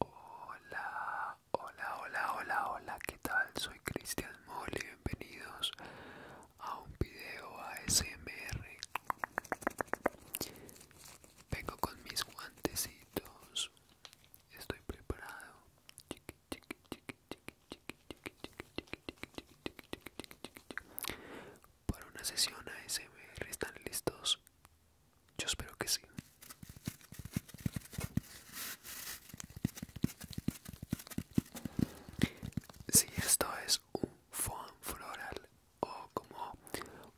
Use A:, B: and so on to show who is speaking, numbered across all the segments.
A: Hola, hola, hola, hola, hola, ¿qué tal? Soy Cristian Mole, bienvenidos a un video ASMR. Vengo con mis guantecitos, estoy preparado para una sesión ASMR están listos yo espero que sí si esto es un foam floral o como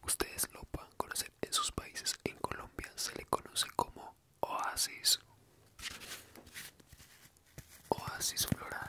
A: ustedes lo puedan conocer en sus países en Colombia se le conoce como oasis oasis floral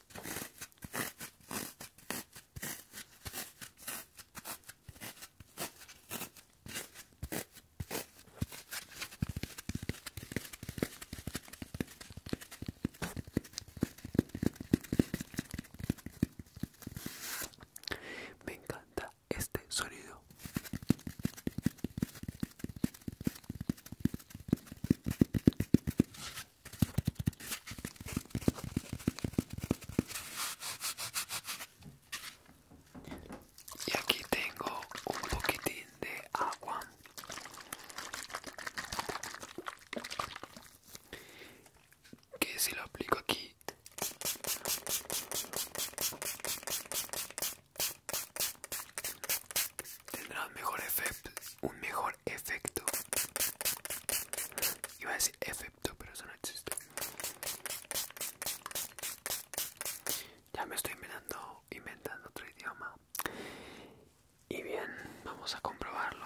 A: Me encanta este sonido. Y aquí tengo un poquitín de agua. Que si lo aplico aquí tendrá mejor efecto un mejor efecto. Iba a decir efecto, pero eso no existe. Ya me estoy inventando, inventando otro idioma. Y bien, vamos a comprobarlo.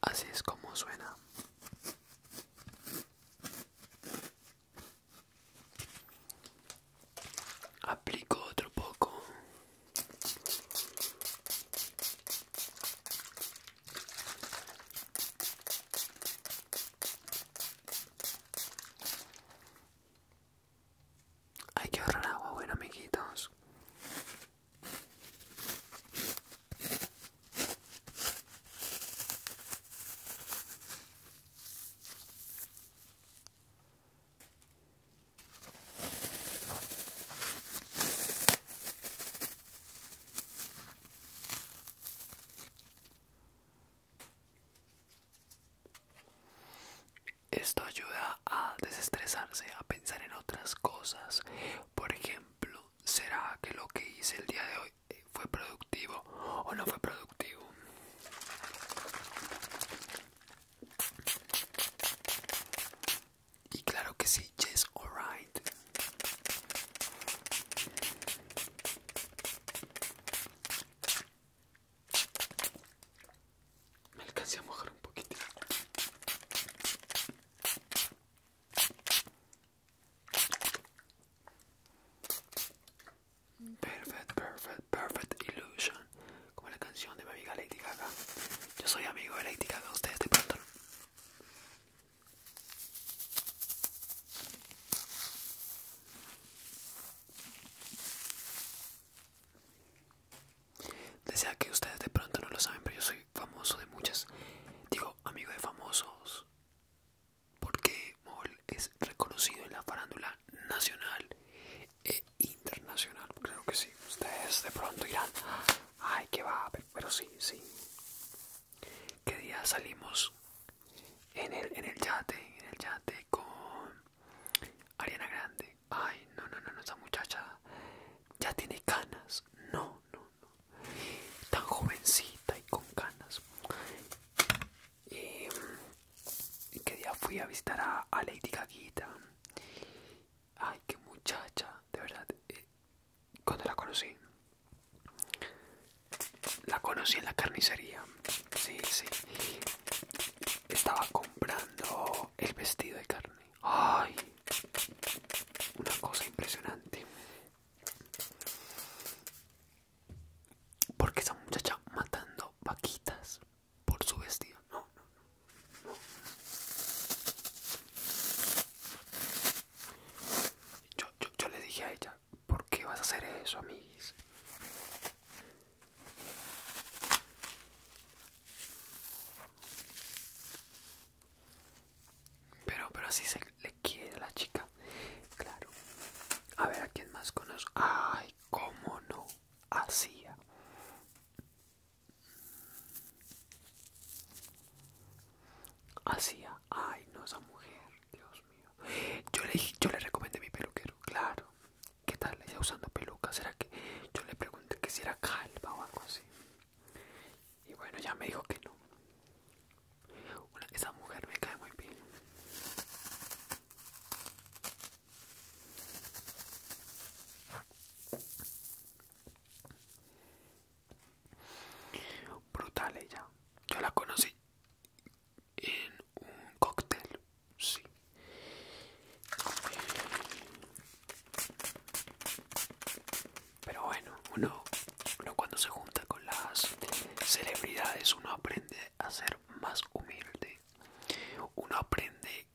A: Así es como suena. Aplico otro poco. Hay que ahorrar agua, bueno amiguitos. Esto ayuda a desestresarse, a pensar en otras cosas. Por ejemplo, ¿Será que lo que hice el día de hoy eh, fue productivo o no fue productivo? Y claro que sí, yes, alright. Me alcancé a mojar un poquito. Perfect, perfect, perfect illusion. Como la canción de mi amiga Lady Gaga. Yo soy amigo de Lady Gaga, ustedes de pronto. Desea que ustedes de pronto no lo saben, pero yo soy famoso de muchas. Digo, amigo de famosos, porque Moll es reconocido en la farándula nacional e internacional. Creo que sí. Ustedes de pronto irán, ay, que va, pero, sí, sí. ¿Qué día salimos? En el, yate, en el yate con Ariana Grande. Ay, no, no, no, no, esa muchacha ya tiene canas. No, Tan jovencita y con canas. Em, y que día fui a visitar a, Lady Gaguita. Ay, qué muchacha, de verdad. Eh, cuando la conocí, la conocí en la carnicería. Sí, sí. Estaba comprando el vestido de carne. Ay, una cosa impresionante porque esa muchacha matando vaquitas por su vestido no, no, no, Yo, yo le dije a ella ¿por qué vas a hacer eso amiguis? Pero, pero así se le quiere a la chica. Claro. A ver a quién más conozco. Ay, cómo no. Hacía. Hacía. Ay, no, esa mujer. Dios mío. Yo le, yo le recomendé mi peluquero. Claro. ¿Qué tal? Ella usando peluca. ¿Será que yo le pregunté que si era calva o algo así? Y bueno, ya me dijo que no. esa mujer me cae muy bien. Brutal ella. Yo la conocí en un cóctel. Sí. Pero bueno, uno, uno cuando se junta con las celebridades, uno aprende a ser más humilde. Uno aprende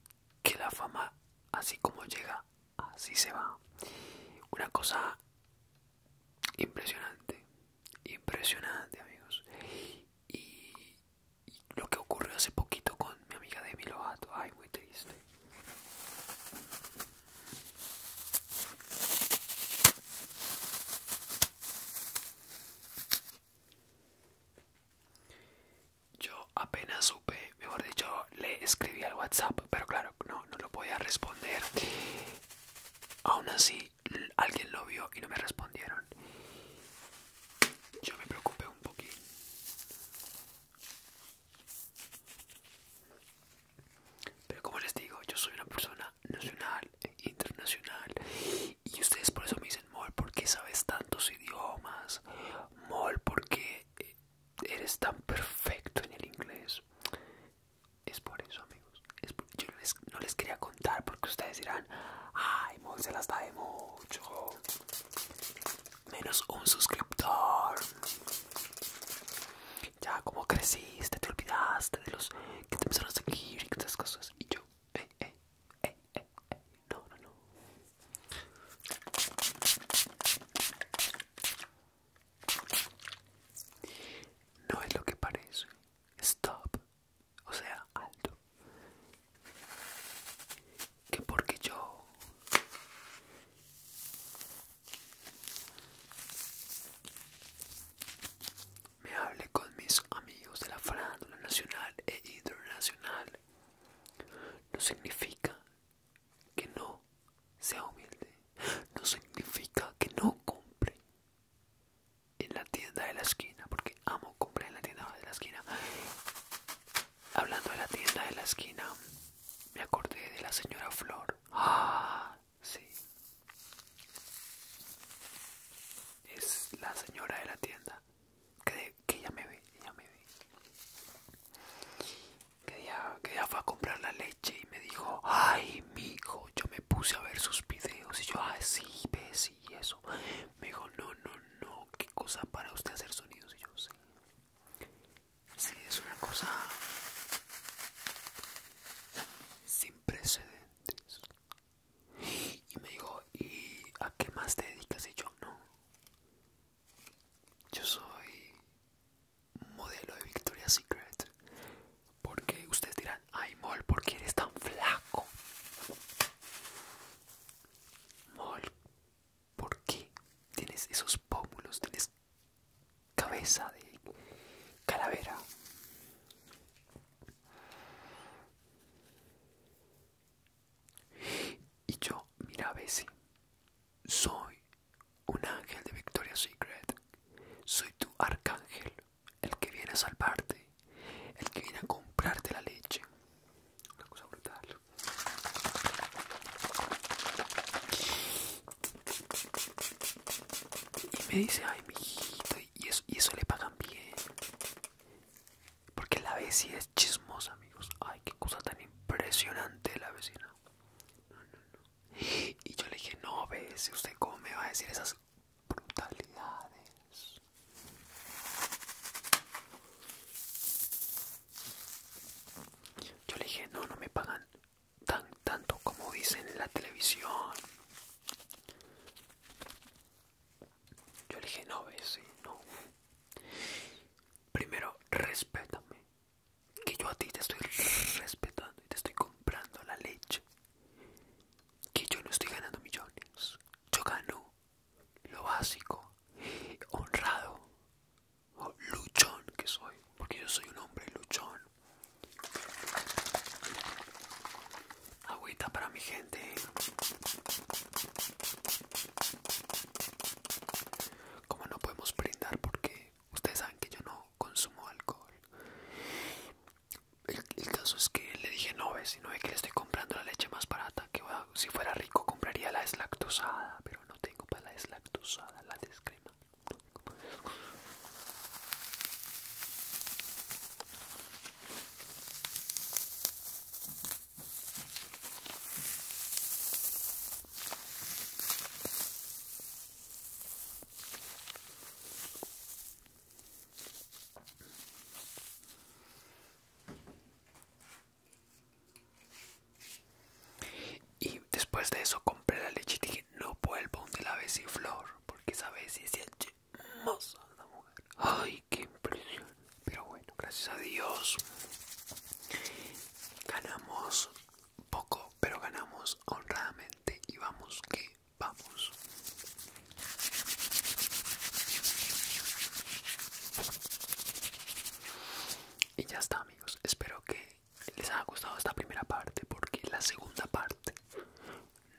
A: que la fama, así como llega, así se va. Una cosa impresionante, impresionante amigos. Y, lo que ocurrió hace poquito con mi amiga Demi Lovato, ay muy triste. Yo apenas supe, mejor dicho, le escribí al WhatsApp, pero claro, no, no lo podía responder. Aún así, alguien lo vio y no me respondieron. Yo me preocupé un poquito. Pero como les digo, yo soy una persona nacional e internacional. Y ustedes por eso me dicen, Mol, porque sabes tantos idiomas? Mol, porque eh, eres tan perfecto en el inglés? Es por eso, amigos. Es porque Yo no les quería contar porque ustedes dirán, ay, Mol se las da de mucho menos un suscriptor. Ya como creciste, te olvidaste de los que te empezaron a seguir y esas cosas. Y yo, eh, eh, eh, no, no, no. No es lo que parece. Stop o sea, alto. Que porque yo me hable con mis amigos de la farándula nacional e internacional, no significa que no sea humilde, no significa que no compre en la tienda de la esquina, porque amo compré en la tienda de la esquina. Hablando de la tienda de la esquina, me acordé de la señora Flor. Ah, sí. Es la señora de la tienda. Que, que ya me ve, Que ya, fue a comprar la leche y me dijo, ay, mijo, yo me puse a ver sus videos y yo, así, ah, sí, y eso. Me dijo, no, no, no, qué cosa para usted hacer sonidos. Y yo, sí. es una cosa sin precedentes. Y me dijo, ¿y a qué más te dedicas? Y yo, no. Yo soy modelo de Victoria's Secret. Porque ustedes dirán, ay, Mol, ¿por qué eres tan flaco? Mol, ¿por qué tienes esos pómulos? Tienes cabeza de calavera. Y yo, mira Bessie, soy un ángel de Victoria's Secret. Soy tu arcángel el que viene a salvarte, el que viene a comprarte la leche. Una cosa brutal. Y me dice, ay, mijito, y eso, y eso le pagan bien. Porque la vecina es chismosa, amigos. Ay, qué cosa tan impresionante la vecina. Y yo le dije, no, ve, si usted cómo me va a decir esas brutalidades. Yo le dije, no, no me pagan tan tanto como dicen en la televisión. Yo le dije, no, ve, si, no. Primero, respétame. Que yo a ti te estoy respetando y te estoy comprando la leche que yo no estoy ganando millones, yo gano lo básico, honrado, luchón que soy, porque yo soy un hombre luchón. Agüita para mi gente. Como no podemos brindar porque ustedes saben que yo no consumo alcohol el, caso es que le dije no ves, no ve que le estoy comprando la leche más barata que si fuera rico compraría la deslactosada, pero no tengo para la deslactosada, la descrema. Y después de eso compré la leche y dije, no vuelvo donde la vez si flor, porque esa vez es hermosa la mujer. Ay, qué impresión. Pero bueno, gracias a Dios. Ganamos poco, pero ganamos honradamente y vamos que vamos. Y ya está amigos, espero que les haya gustado esta primera parte porque la segunda parte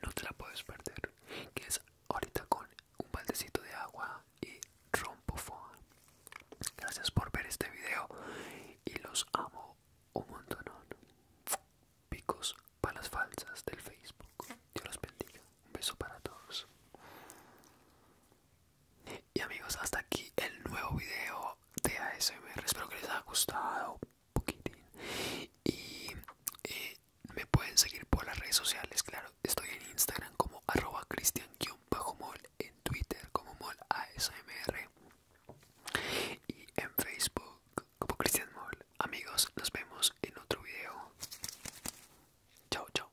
A: no te la puedes perder, que es ahorita con un baldecito de agua y rompo foam. Gracias por ver este video y los amo un montón picos para las falsas del Facebook. Dios los bendiga. Un beso para todos. Y amigos, hasta aquí el nuevo video de ASMR. Espero que les haya gustado un poquitín. Y eh, me pueden seguir por las redes sociales, claro. Estoy en Instagram como arroba cristian-mol, en Twitter como mol ASMR y en Facebook como Christian Moll. Amigos, nos vemos en otro video. Chao, chao.